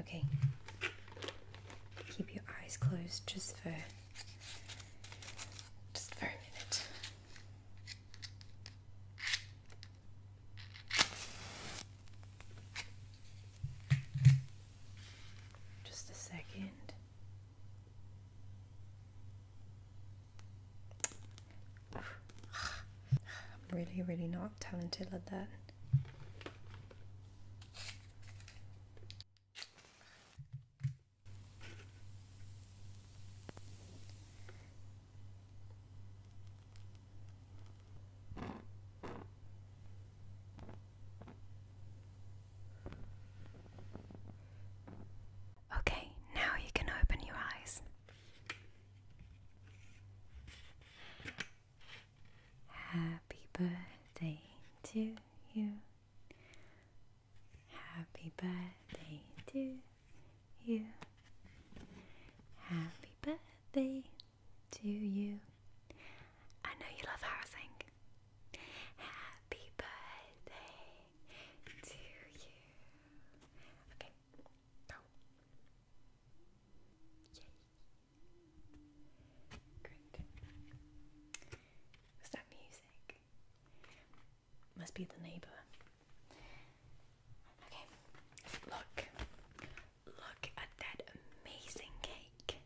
Okay. Keep your eyes closed just for just for a minute. Just a second. I'm really, really not talented at that. Okay, now you can open your eyes. Happy birthday to you. Happy birthday to you. Happy birthday to you. I know you love how I sing. Happy birthday to you. Okay, go. Yay. Great. that music? Must be the neighbour. Okay, look. Look at that amazing cake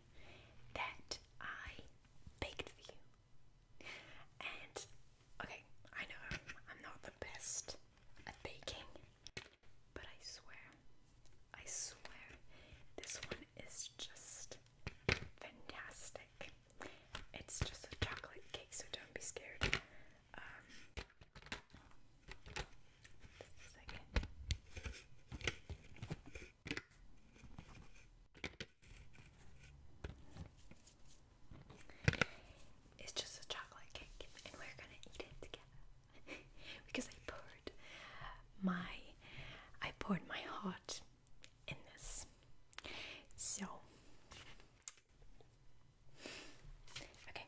that I baked for you. And, okay, I know I'm not the best at baking, but I swear, I swear, this one is just fantastic. It's just a chocolate cake, so don't be scared. Um, second. It's just a chocolate cake, and we're gonna eat it together. because I poured my I poured my heart in this. So okay.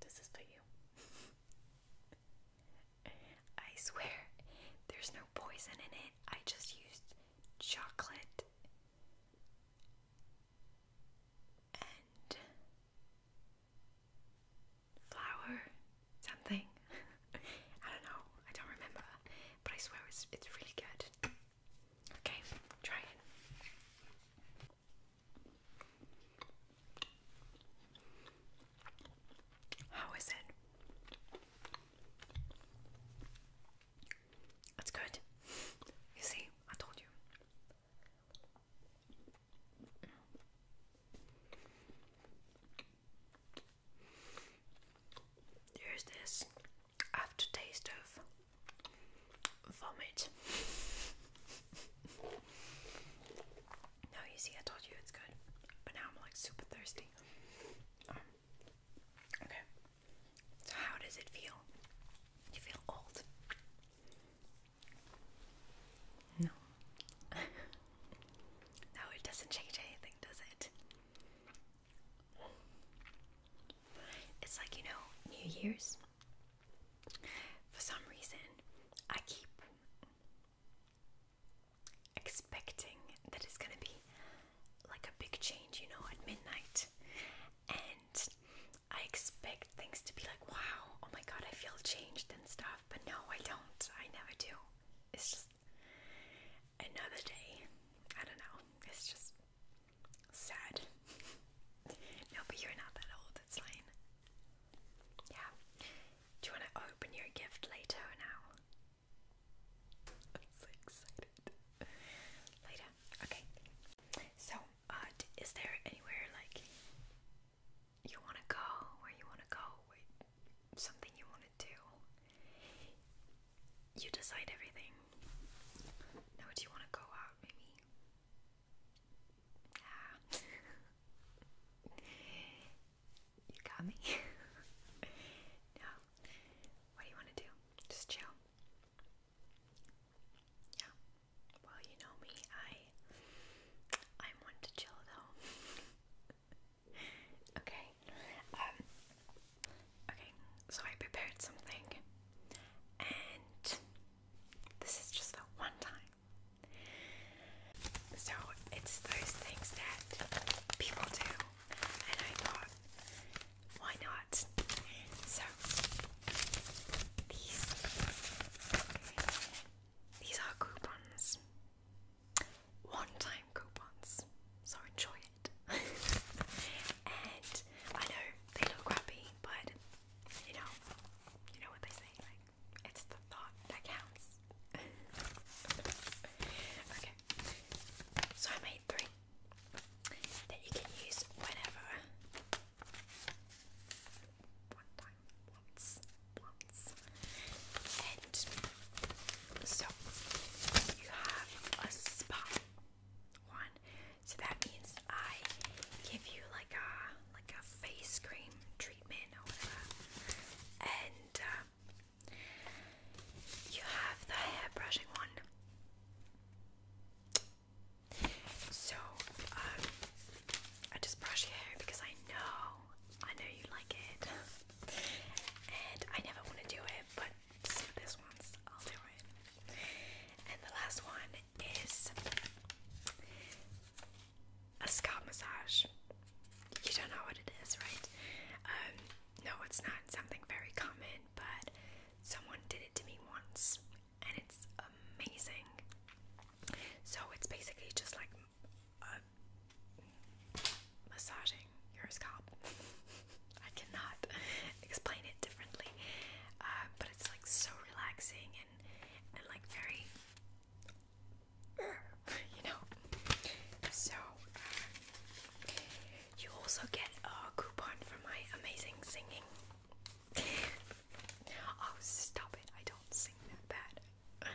This is for you. I swear there's no poison in it. I just used chocolate and flower something. I don't know. I don't remember. But I swear it's it's really good. Okay, try it. How is it? It's good. You see, I told you. There's this aftertaste of vomit. no, you see, I told you it's good, but now I'm like super thirsty. Um, okay, so how does it feel? You feel old. No. no, it doesn't change anything, does it? It's like, you know, New Year's. For some reason, I keep expecting that it's gonna be like a big change, you know, at midnight. And I expect things to be like, wow, oh my god, I feel changed and stuff, but no, I don't. I never do. It's just another day. I don't know. It's just sad. no, but you're not that old. It's fine. Yeah. Do you want to open your gift later or now? I'm so excited. Later. Okay. So uh, is there anywhere like you want to go, where you want to go, something you want to do? You decide everything. Now, do you want to go out, maybe? Ah. you got me? no. What do you want to do? Just chill. Yeah. Well, you know me. I I'm one to chill though. okay. Um Okay, so I prepared something and this is just the one time. So it's those things that people do and I thought why not? So these, these are coupons, one-time coupons. So enjoy it. and I know they look crappy, but you know, you know what they say. Like it's the thought that counts. okay. So I made three that you can use whenever one time, once, once. And so you have a spot one. So that means I give you like a like a face cream treatment or whatever, and um, you have the hair brushing one. So, um, I just brush your hair because I know, I know you like it. and I never want to do it, but this one's, I'll do it. And the last one is a scalp massage. You don't know what it is, right? Um, no, it's not something very common, but someone did it to me once, and it's amazing. So it's basically just like uh, massaging your scalp. I cannot explain it differently, uh, but it's like so relaxing and and like very, you know. So uh, you also get a coupon for my amazing singing oh, stop it. I don't sing that bad.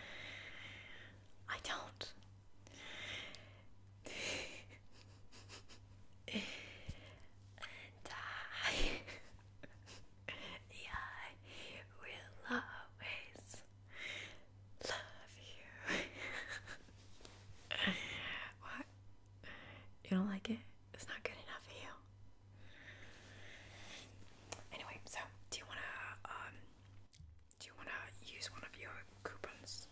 I don't. and I, yeah, will always love you. what? You don't like it? It's not good enough for you. Anyway, so do you wanna um, do you wanna use one of your coupons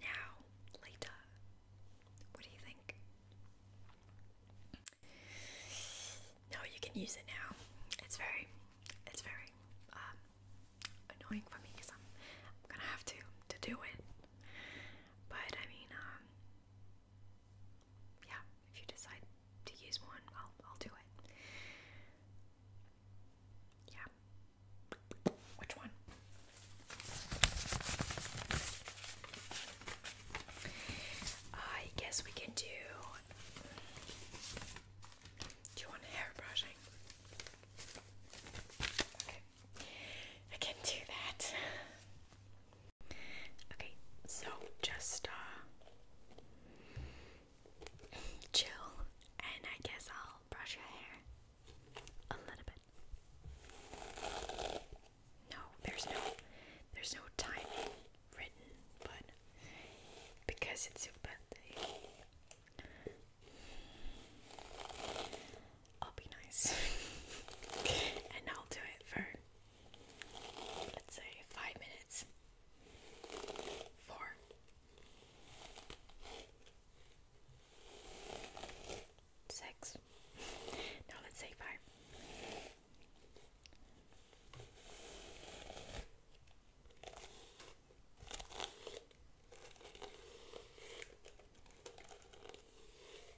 now, later? What do you think? No, you can use it now. It's very, it's very um, annoying for me because I'm, gonna have to to do it. But I mean, um, yeah, if you decide to use one, I'll I'll do it. Yeah. Which one? I guess we can do. Do you want hair brushing? Okay. I can do that. Okay, so just uh, chill, and I guess I'll brush your hair a little bit. No, there's no, there's no timing written, but because it's your birthday. I'll be nice and I'll do it for let's say five minutes. Four. Six. No, let's say five.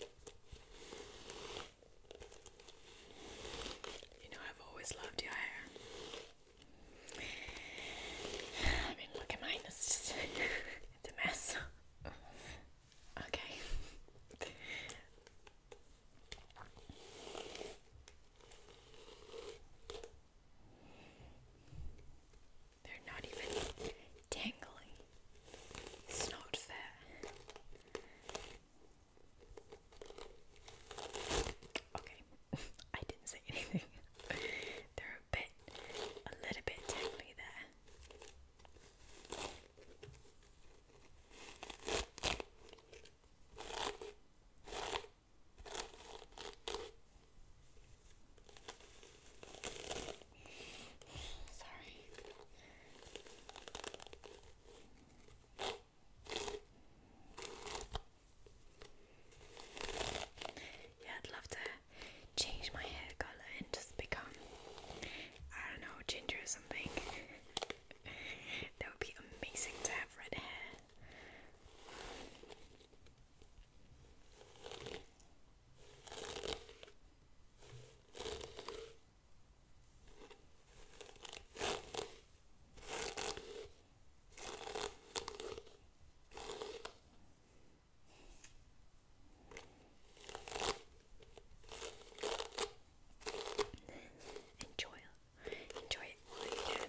You know, I've always loved your hair. I mean, look at mine, it's just a mess. Okay. They're not even tangly. It's not fair. Okay, I didn't say anything. They're a bit, a little bit tingly there. Sorry. Yeah, I'd love to change my hair colour and just become, I don't know, ginger or something. that would be amazing to have red hair. Enjoy it. Enjoy it while you can.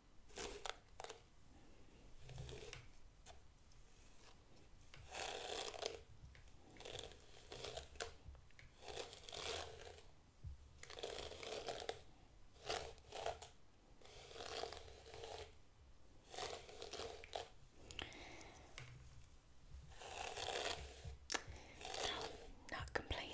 No, not complaining.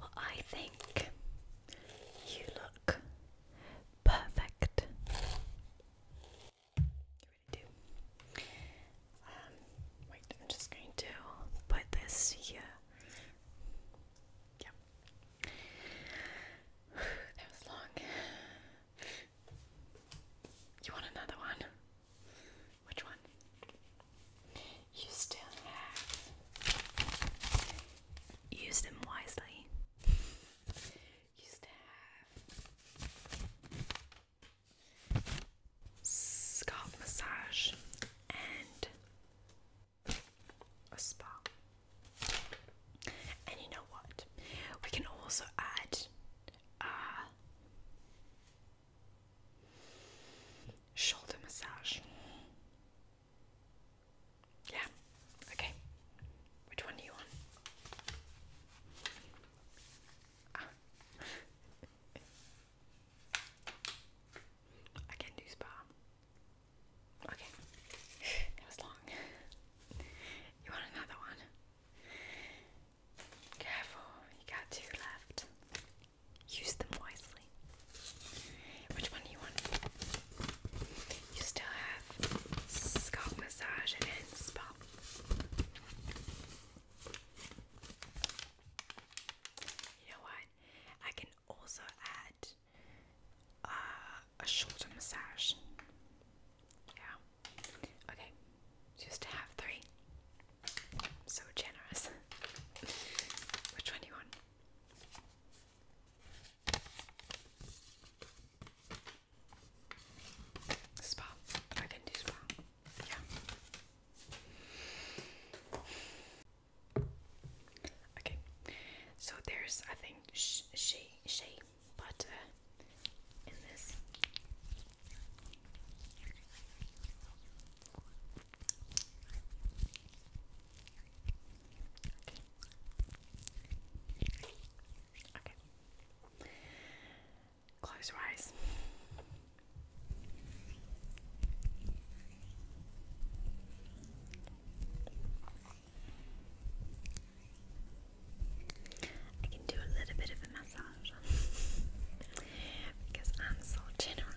Well, I think you look Perfect. Um, wait, I'm just going to put this here. Yep. That was long. You want another one? Which one? You still have. Use them wisely used to have scalp massage and a spa. And you know what? We can also add a uh, shoulder massage. Yeah. Okay. Which one do you want? Ah. I can do spa. Okay. That was long. You want another one? Careful, you got two left. Use them wisely. Which one do you want? You still have scalp massage and spa. You know what? I can also add uh, a shoulder massage. Yeah. Okay. Just to have three. So generous. Which one do you want? Spa. I can do spa. Yeah. Okay. So there's I think sh shea shea butter in this. Close your eyes. I can do a little bit of a massage because I'm so generous.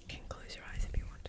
You can close your eyes if you want.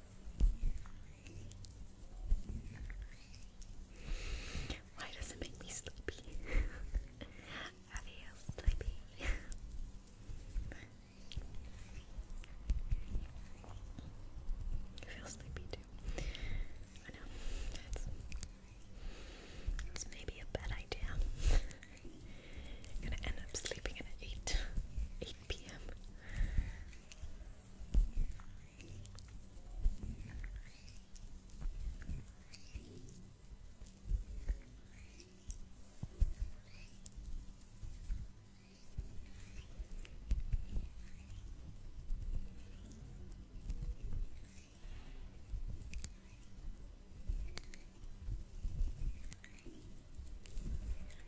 Why does it make me sleepy? Are you sleepy? I feel sleepy too. I know. It's, it's maybe a bad idea. I'm gonna end up sleeping at 8, 8 p.m.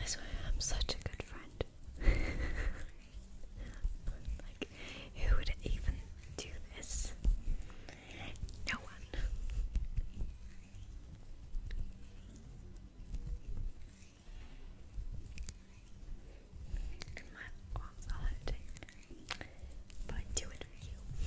I swear I'm such a good friend. like, who would even do this? No one. And my arms are hurting, but I do it for you.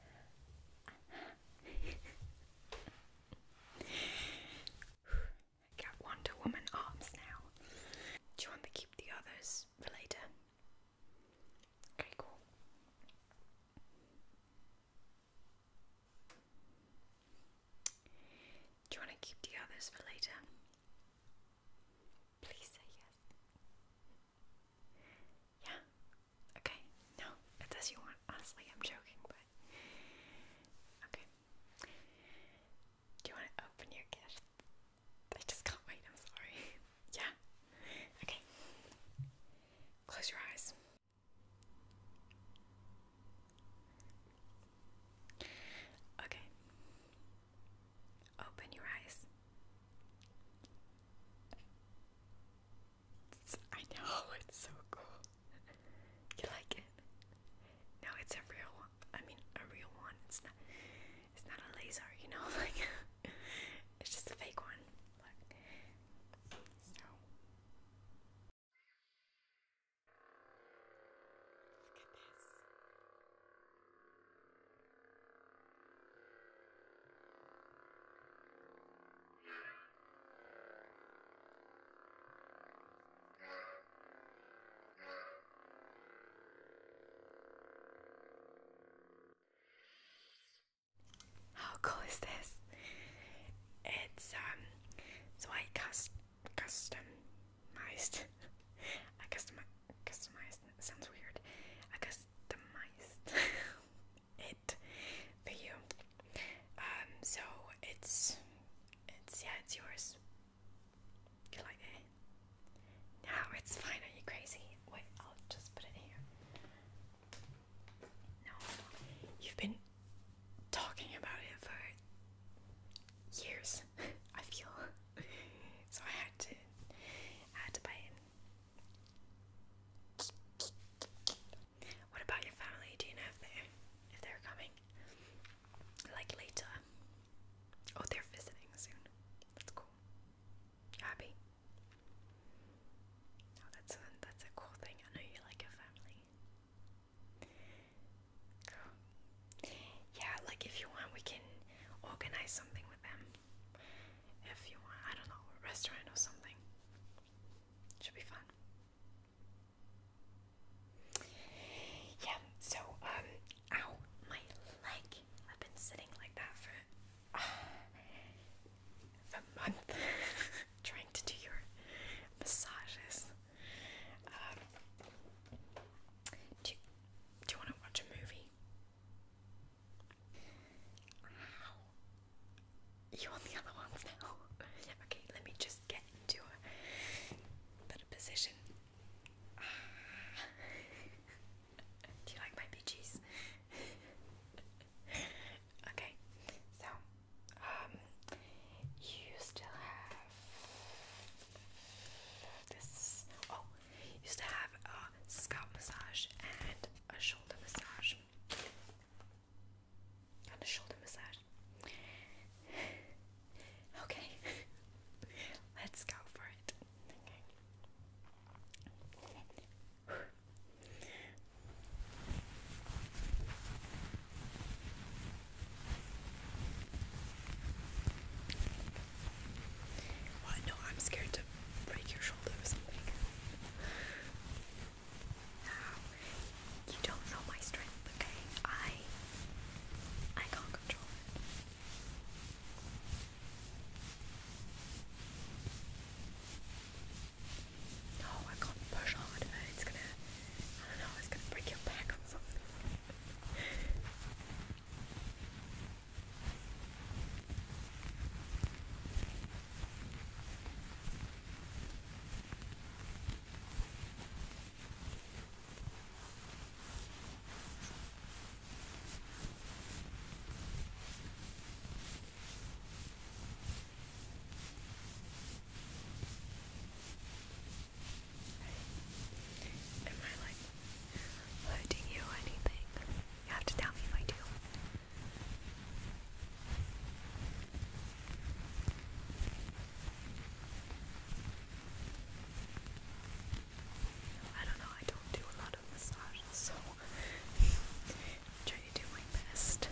Got Wonder Woman arms now. Do you want to keep the others for later? Okay, cool. Do you want to keep the others for later? Please say yes. Yeah. Okay. No, it's as you want. Honestly, I'm joking, but okay. Do you want to open your gift? I just can't wait. I'm sorry. yeah. Okay. Close your eyes. Okay. Open your eyes. It's, I know, it's so cool. You like it? No, it's a real I mean, a real one. It's not. It's not a laser, you know. Like, it's just a fake one. Look. Look at this. How cool is this? It's um so I cust customized I custom customized sounds weird. I cust customized it for you. Um, so it's it's yeah, it's yours. You like it? No, it's fine. Are you crazy? Wait, I'll just put it here. No, you've been talking about it for years. I feel so. I had to, I had to buy it. What about your family? Do you know if they if they're coming? Like later. Oh, they're visiting soon. That's cool. You happy? Oh, that's that's a cool thing. I know you like your family. Yeah, like if you want, we can organize something with them if you want, I don't know, a restaurant or something. Should be fun. Yeah, so, um, ow, my leg. I've been sitting like that for, uh, a month trying to do your massages. Um, do, do you want to watch a movie? You want the other ones now? okay, let me just get into a better position. Ah. Do you like my peaches? okay, so um you still have this oh you still have a scalp massage and a shoulder massage. a shoulder massage. okay, let's go for it no, I'm scared to break your shoulder or something. you don't know my strength, okay? I, I can't control it. No, I can't push hard. It's gonna, I don't know, it's gonna break your back or something. Am I like hurting you or anything? You have to tell me if I do. I don't know, I don't do a lot of massages, so trying to do my best.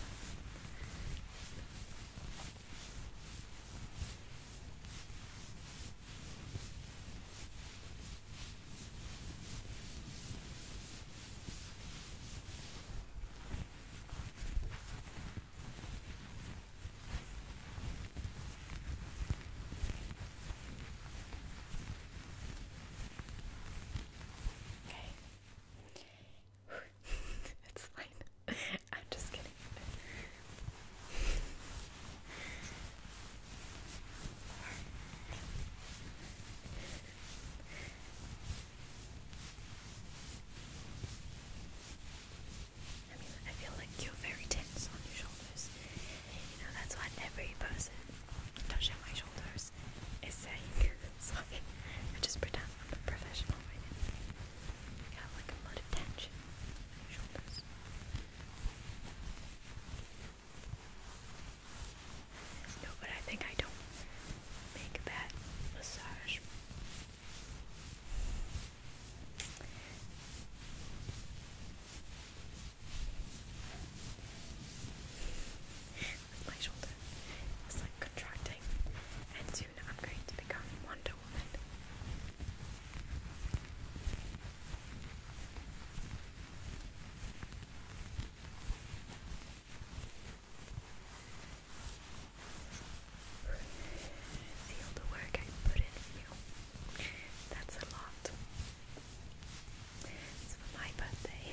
Okay. it's fine. I'm just kidding. I feel like you're very tense on your shoulders. You know, that's what every person touching my shoulders is saying. Sorry, I just pretend I'm a professional right now. like a lot of tension on your shoulders. No, but I think I don't make that massage. my shoulder is like contracting, and soon I'm going to become Wonder Woman. See all the work I put in for you. That's a lot. It's for my birthday.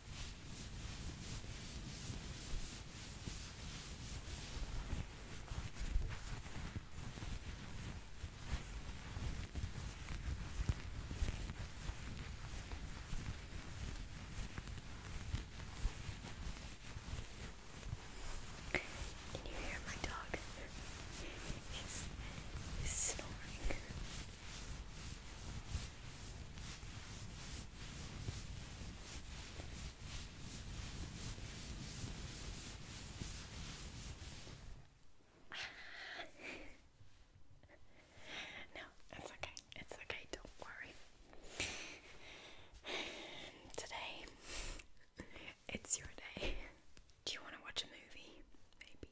Can you hear my dog? He's, he's snoring. no, it's okay. It's okay. Don't worry. Today, it's your day. Do you want to watch a movie? Maybe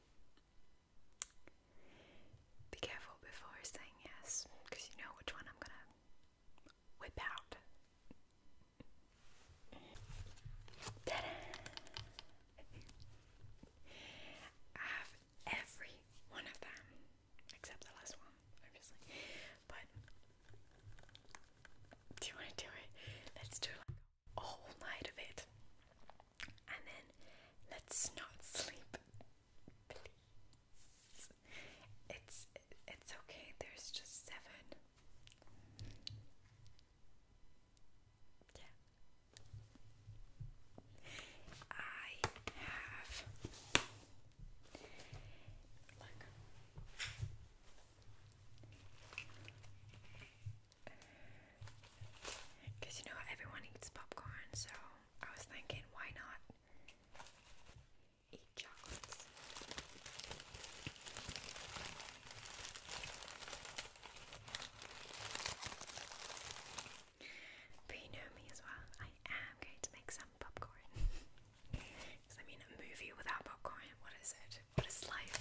be careful before saying yes, because you know which one I'm gonna whip out. I have every one of them, except the last one, obviously. But do you want to do it? Let's do a whole night of it, and then let's not sleep, please. It's it's okay. There's just seven. Yeah. I have look. Uh, Cause you know everyone eats popcorn, so I was thinking, why not eat chocolates? But you know me as well, I am going to make some popcorn. Because I mean, a movie without popcorn, what is it? What is life?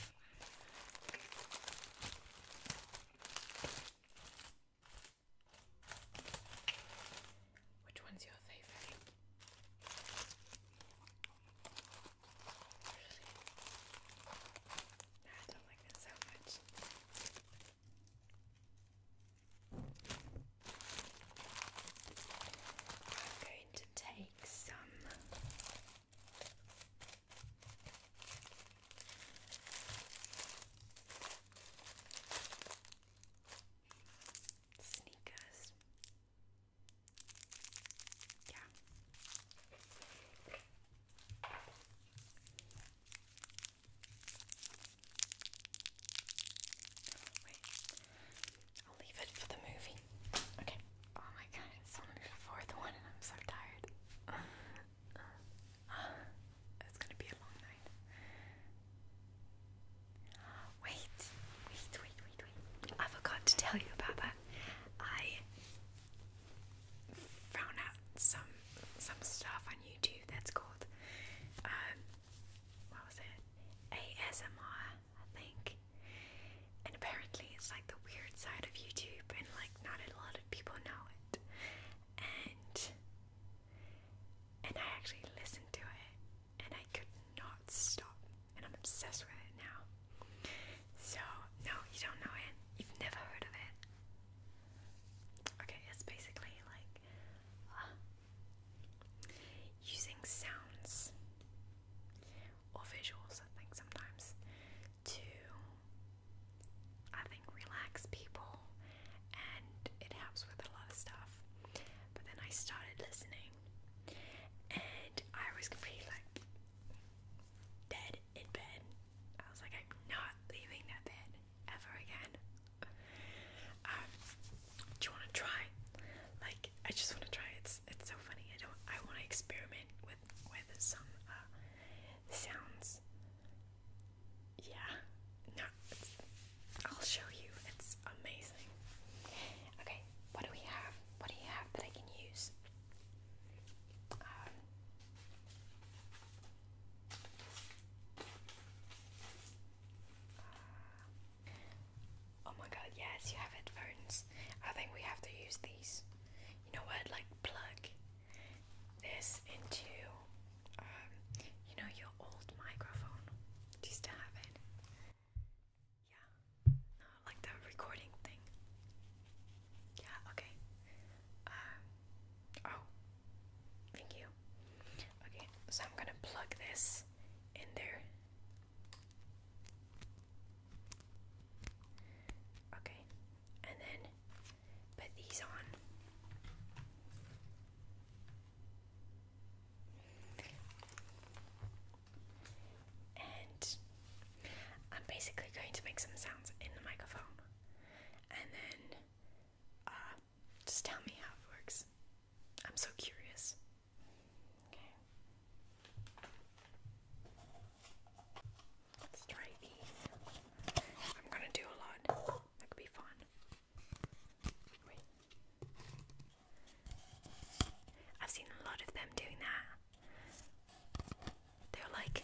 Which one's your favorite? I don't like that so much. I'm going to take some Sneakers. Yeah. Wait. I'll leave it for the movie. Okay. Oh my god, it's only before the one I'm so tired. It's gonna be a long night. Wait, wait, wait, wait, wait. I forgot to tell you about that. I found out some some stuff on YouTube that's called um, what was it? ASMR, I think. And apparently it's like the weird side of YouTube and like not a lot of people know it. And and I actually listened to it and I could not stop. And I'm obsessed with it now. So, no, you don't know it. You've never heard of it. Okay, it's basically like uh, using sounds or visuals, I think, sometimes to, relax people and it helps with a lot of stuff. But then I started listening and I was completely like dead in bed. I was like, I'm not leaving that bed ever again. Um, do you want to try? Like, I just want to try. It's it's so funny. I don't. I want to experiment with with some uh, sounds yeah, no, I'll show you. It's amazing. Okay, what do we have? What do you have that I can use? Um, uh, oh my god, yes, you have headphones. I think we have to use these. You know what? Like plug this into, um, you know, your old microphone. Do you still have it? Yeah. like the recording thing. Yeah, okay. Um, oh, thank you. Okay, so I'm gonna plug this in there. Okay, and then put these on. And I'm basically going to make some sounds in the microphone. And then uh, just tell me how it works. I'm so curious. Okay. let I'm gonna do a lot. That could be fun. I've seen a lot of them doing that. They're like.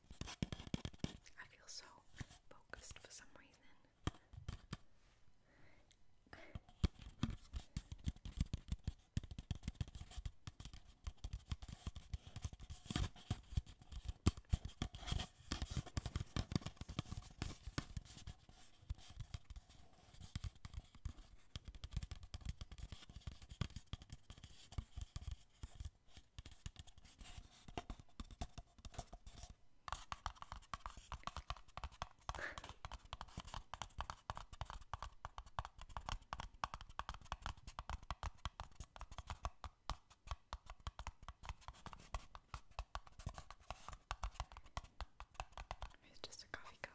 I feel so focused for some reason it's just a coffee cup.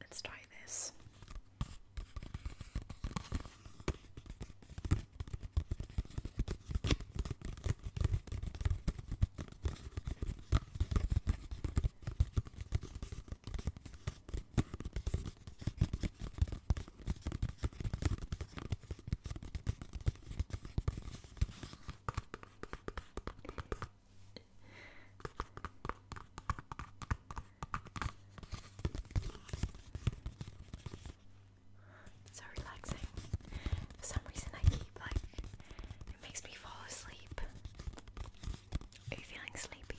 Let's try this so relaxing. For some reason, I keep like it makes me fall asleep. Are you feeling sleepy?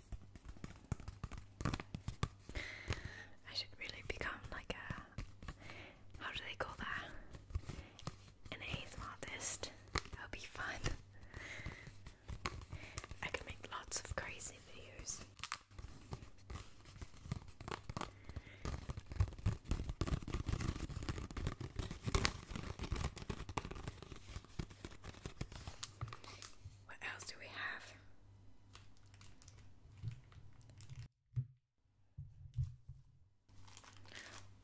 I should really become like a how do they call that? An ASM artist. That would be fun. I can make lots of crazy videos. What else do we have?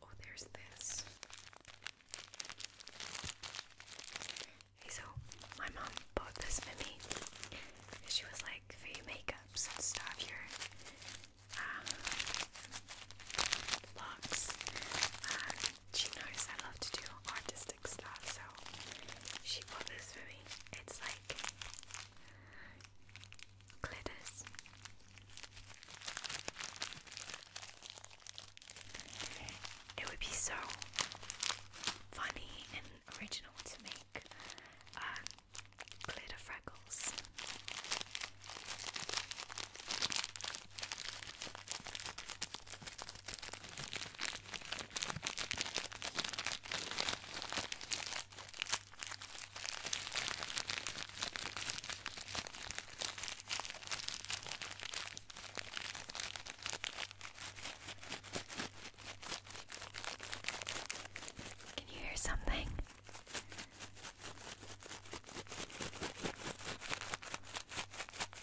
Oh, there's this. Hey, so my mom bought this for me. She was like, for your makeups and stuff, your um, she knows I love to do artistic stuff, so she bought this for me. It's like glitters. It would be so funny and original to make um, glitter freckles. Can you hear something?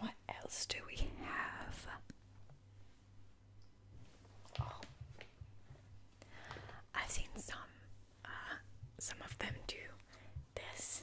What else do we have? Oh, I've seen some, uh, some of them do this.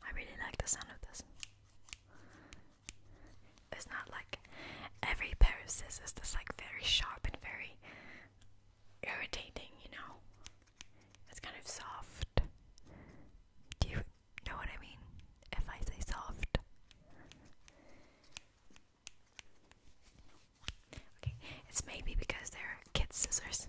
I really like the sound of this. It's not like every pair of scissors that's like very sharp and very irritating, you know? It's kind of soft. Do you know what I mean? If I say soft. Okay, it's maybe because they're kids' scissors.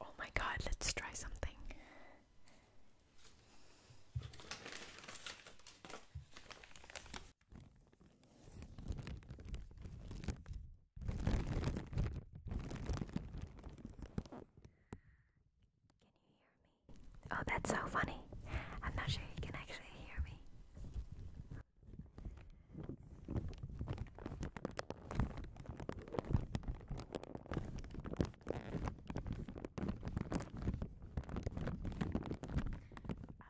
oh my god, let's try something. Can you hear me? Oh, that's so funny. I'm not sure you can actually hear me. I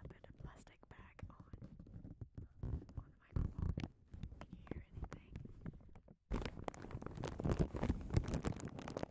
put a plastic bag on on the microphone. Can you hear anything?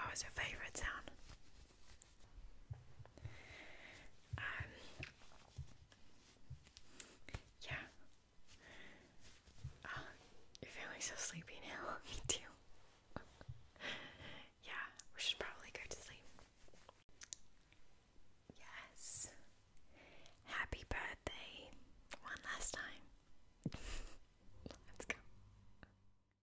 What was your favorite sound? Um, yeah. Ah, you're feeling so sleepy now. Me too. yeah, we should probably go to sleep. Yes. Happy birthday one last time. Let's go.